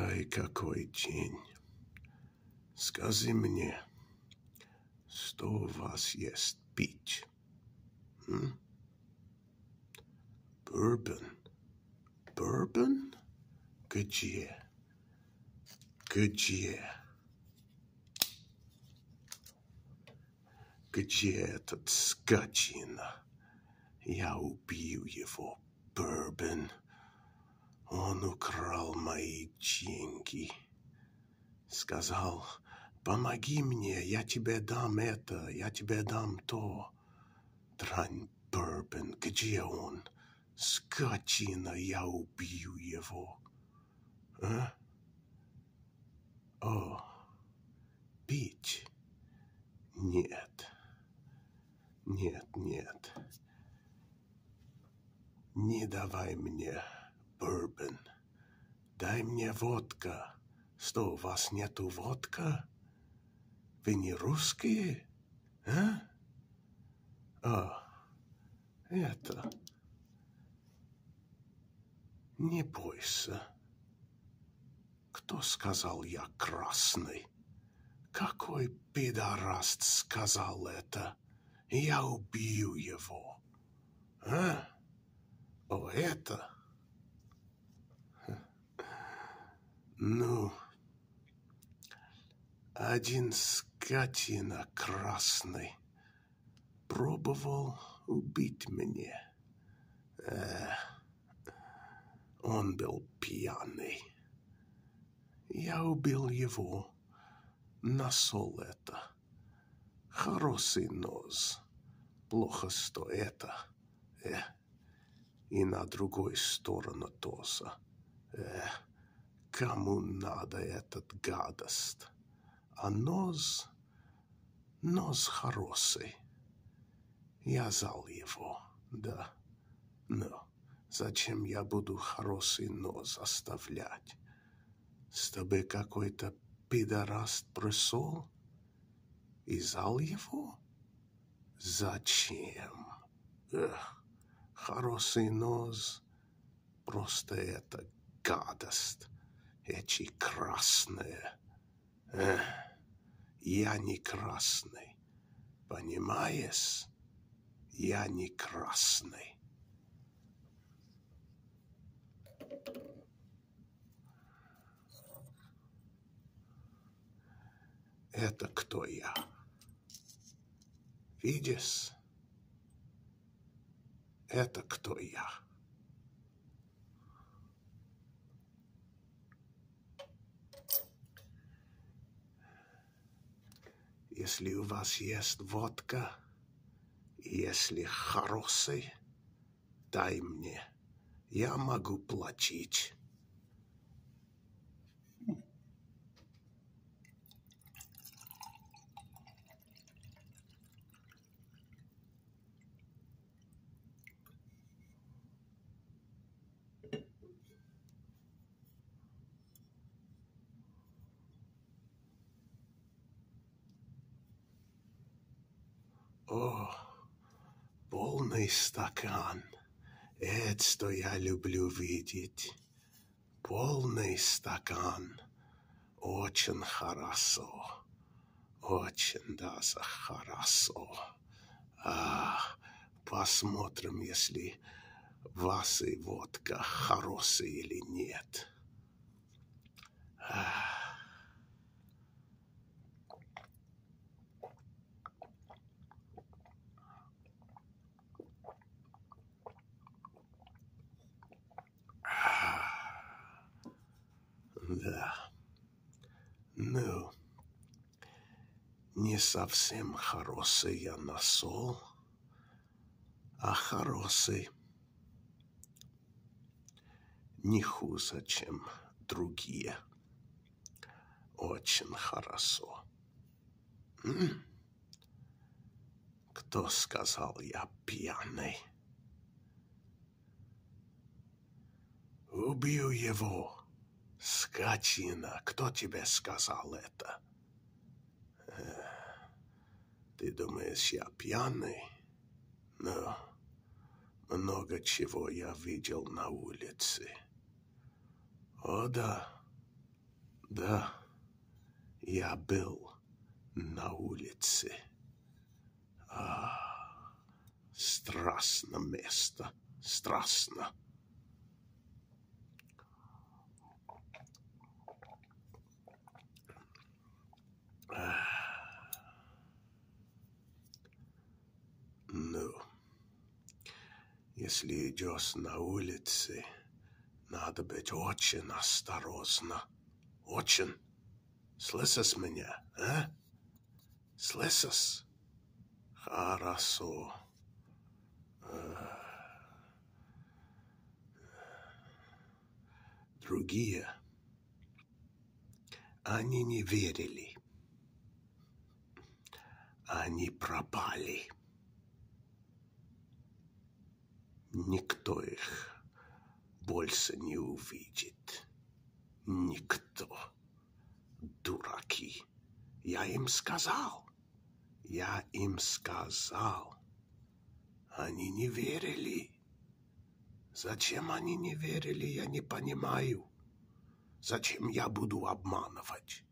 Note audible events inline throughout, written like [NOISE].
Ай, какой день! Скажи мне, что у вас есть пить? М? Бурбон? Бурбон? Где? Где? Где этот скотина? Я убью его, Бърбен. Он украл мои деньги. Сказал, помоги мне, я тебе дам это, я тебе дам то. Трань Бърбен, где он? Скотина, я убью его. А? О, пить? Нет. Нет, нет. Не давай мне бурбон. Дай мне водка. Что, у вас нету водка? Вы не русские? А? А, это... Не бойся. Кто сказал я красный? Какой пидораст сказал это? Я убью его. А? Поэта? Ну, один скотина красный пробовал убить меня. Э, он был пьяный. Я убил его. Насол это. Хороший нос. Плохо сто это. Э. И на другой сторону тоже. Э. Кому надо этот гадость? А нос Нос хороший. Я зал его, да. Но зачем я буду хороший нос оставлять? С тобой какой-то пидораст пришел? И зал его? Зачем? Эх, хороший нос. Просто это гадость. Эти красные. Эх, я не красный, понимаешь? Я не красный. Это кто я? Видишь? Это кто я? Если у вас есть водка, если хороший, дай мне. Я могу платить. О, полный стакан. Это я люблю видеть. Полный стакан. Очень хорошо. Очень даже хорошо. А, посмотрим, если вас и водка хорошие или нет. А. Да, ну, не совсем хороший я насол, а хороший. Не хуже, чем другие. Очень хорошо. Кто сказал, я пьяный? Убью его. Скотина, кто тебе сказал это? Ты думаешь, я пьяный? Но ну, много чего я видел на улице. О да, да, я был на улице. А, Страстно место, страстно. Ну, если идешь на улице, надо быть очень осторожно. Очень. Слышишь меня, а? Слышишь? Хорошо. Э, другие, они не верили. Они пропали. Никто их больше не увидит. Никто. Дураки. Я им сказал. Я им сказал. Они не верили. Зачем они не верили, я не понимаю. Зачем я буду обманывать?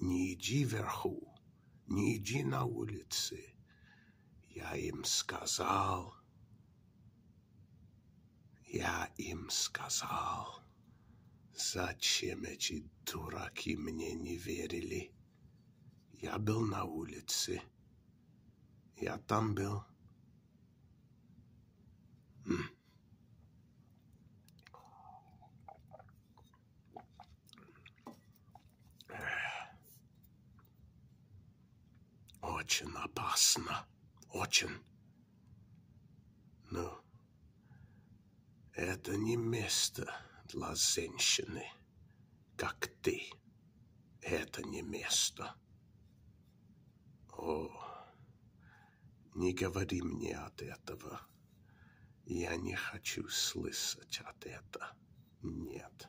Не иди вверху, не иди на улице. Я им сказал. Я им сказал. Зачем эти дураки мне не верили? Я был на улице. Я там был. М. Очень опасно. Очень. Но это не место для женщины, как ты. Это не место. О, не говори мне от этого. Я не хочу слышать от этого. Нет.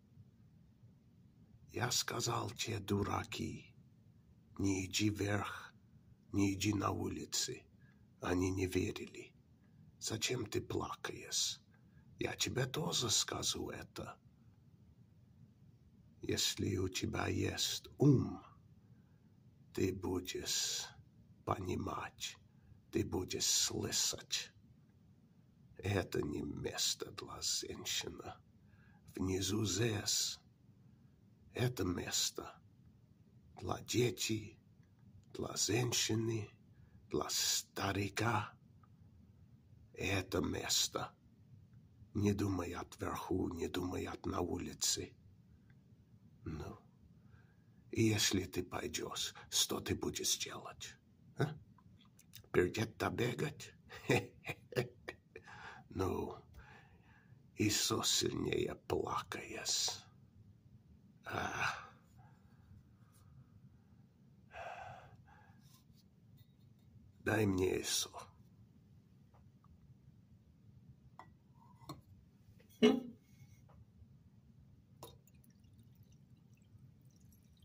Я сказал те дураки, не иди вверх, не иди на улицы. Они не верили. Зачем ты плакаешь? Я тебе тоже скажу это. Если у тебя есть ум, ты будешь понимать, ты будешь слышать. Это не место для женщины. Внизу здесь. Это место для детей, для женщины, для старика. Это место. Не думай от верху, не думай от на улице. Ну, и если ты пойдешь, что ты будешь делать? Huh? Perjeta begat. no. Isso silneia polacajas. Ah. Dai me isso.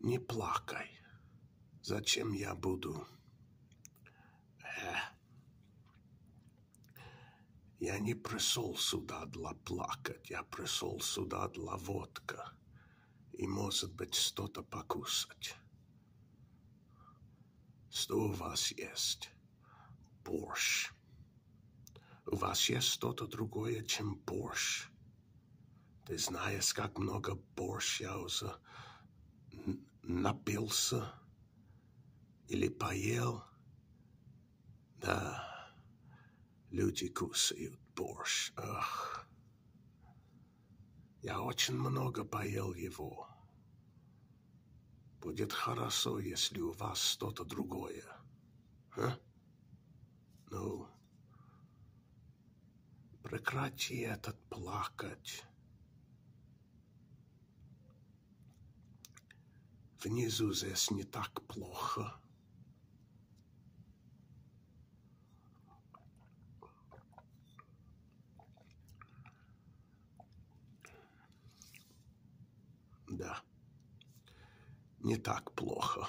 Не плакай. Зачем я буду? Э. Я не пришел сюда для плакать, я пришел сюда для водка и, может быть, что-то покусать. Что у вас есть? Борщ. У вас есть что-то другое, чем борщ? Ты знаешь, как много борщ я уже напился или поел? Да, люди кусают борщ. Ах. Я очень много поел его. Будет хорошо, если у вас что-то другое. А? Ну, Прекрати этот плакать. Внизу здесь не так плохо. Да, не так плохо.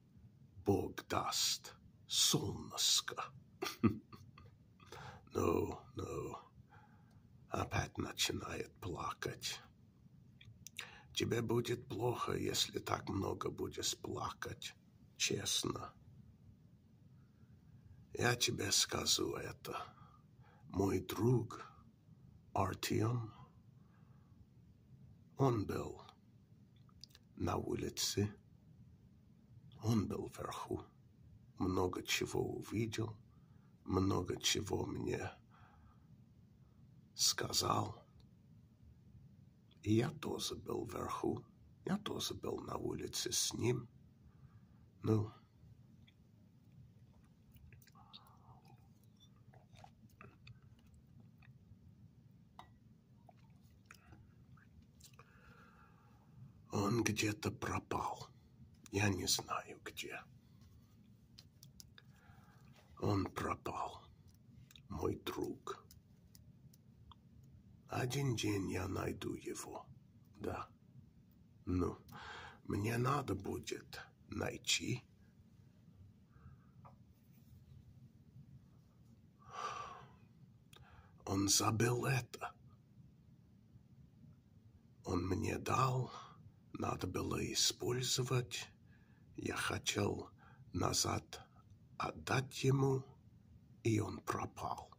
Бог даст, солнышко. Ну, ну, опять начинает плакать. Тебе будет плохо, если так много будешь плакать, честно. Я тебе скажу это. Мой друг Артем, он был на улице он был вверху, много чего увидел, много чего мне сказал. И я тоже был вверху, я тоже был на улице с ним. Ну, он где-то пропал. Я не знаю где. Он пропал. Мой друг. Один день я найду его. Да. Ну, мне надо будет найти он забыл это. Он мне дал, надо было использовать. Я хотел назад отдать ему, и он пропал.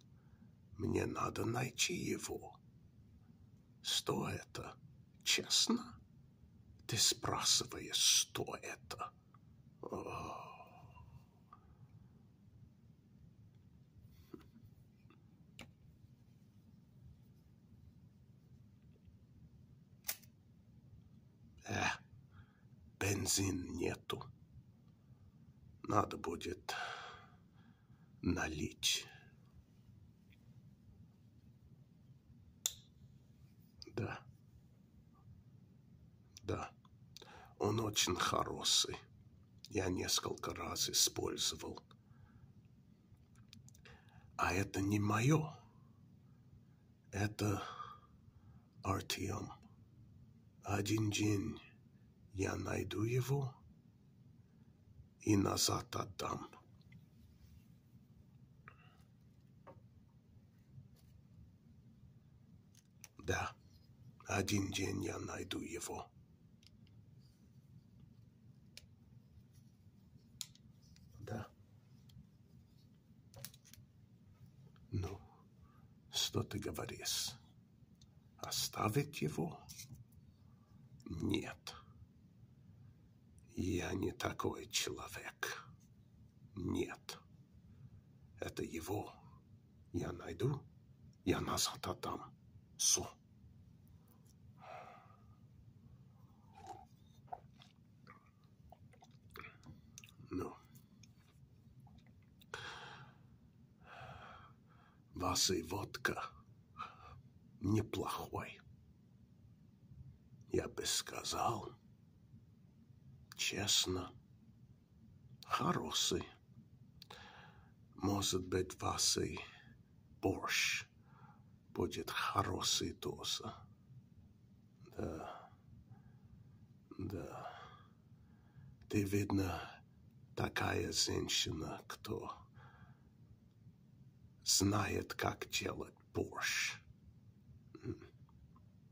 Мне надо найти его. Что это? Честно? Ты спрашиваешь, что это? Э, бензин нету. Надо будет налить. Да. Да, он очень хороший. Я несколько раз использовал. А это не мое. Это Артем. Один день я найду его и назад отдам. Да, один день я найду его. Да. Ну, что ты говоришь? Оставить его? Нет. Я не такой человек. Нет. Это его. Я найду, я назад отдам. Су. Ну. Вас и водка неплохой. Я бы сказал, Честно, хороший. Может быть, вас и борщ будет хороший тоже. Да, да. Ты, видно, такая женщина, кто знает, как делать борщ.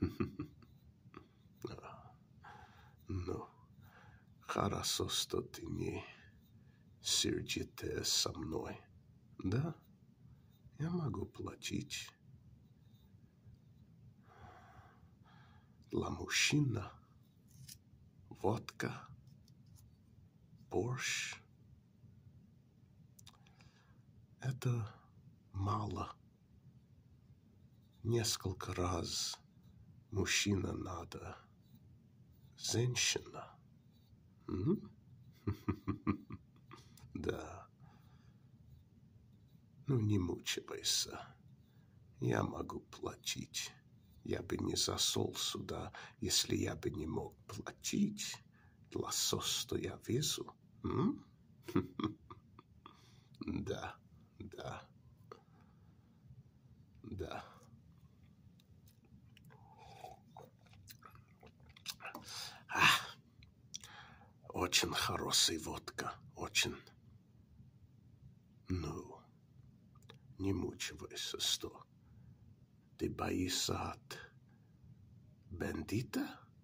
[LAUGHS] Ну, хорошо, что ты не сердитая со мной. Да, я могу платить. Для мужчина водка, борщ, это мало. Несколько раз мужчина надо, женщина. [LAUGHS] Да. Ну, не мучайся. Я могу платить. Я бы не засол сюда, если я бы не мог платить для сос, что я везу сразу. [LAUGHS] Да, да, да. Очень хорошая водка, очень. Ну, не мучивайся, сто. Ты боишься от бандита?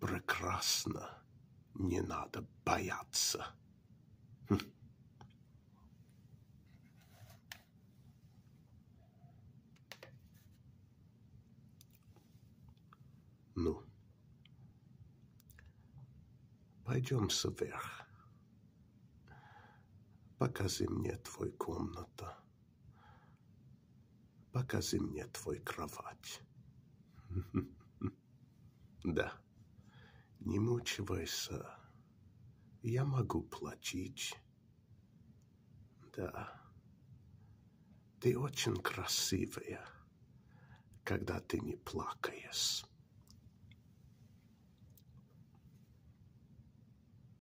Прекрасно. Не надо бояться. Хм. Ну, пойдем вверх. Покажи мне твою комнату. Покажи мне твой кровать. [LAUGHS] Да, не мучивайся. Я могу платить. Да. Ты очень красивая, когда ты не плакаешь.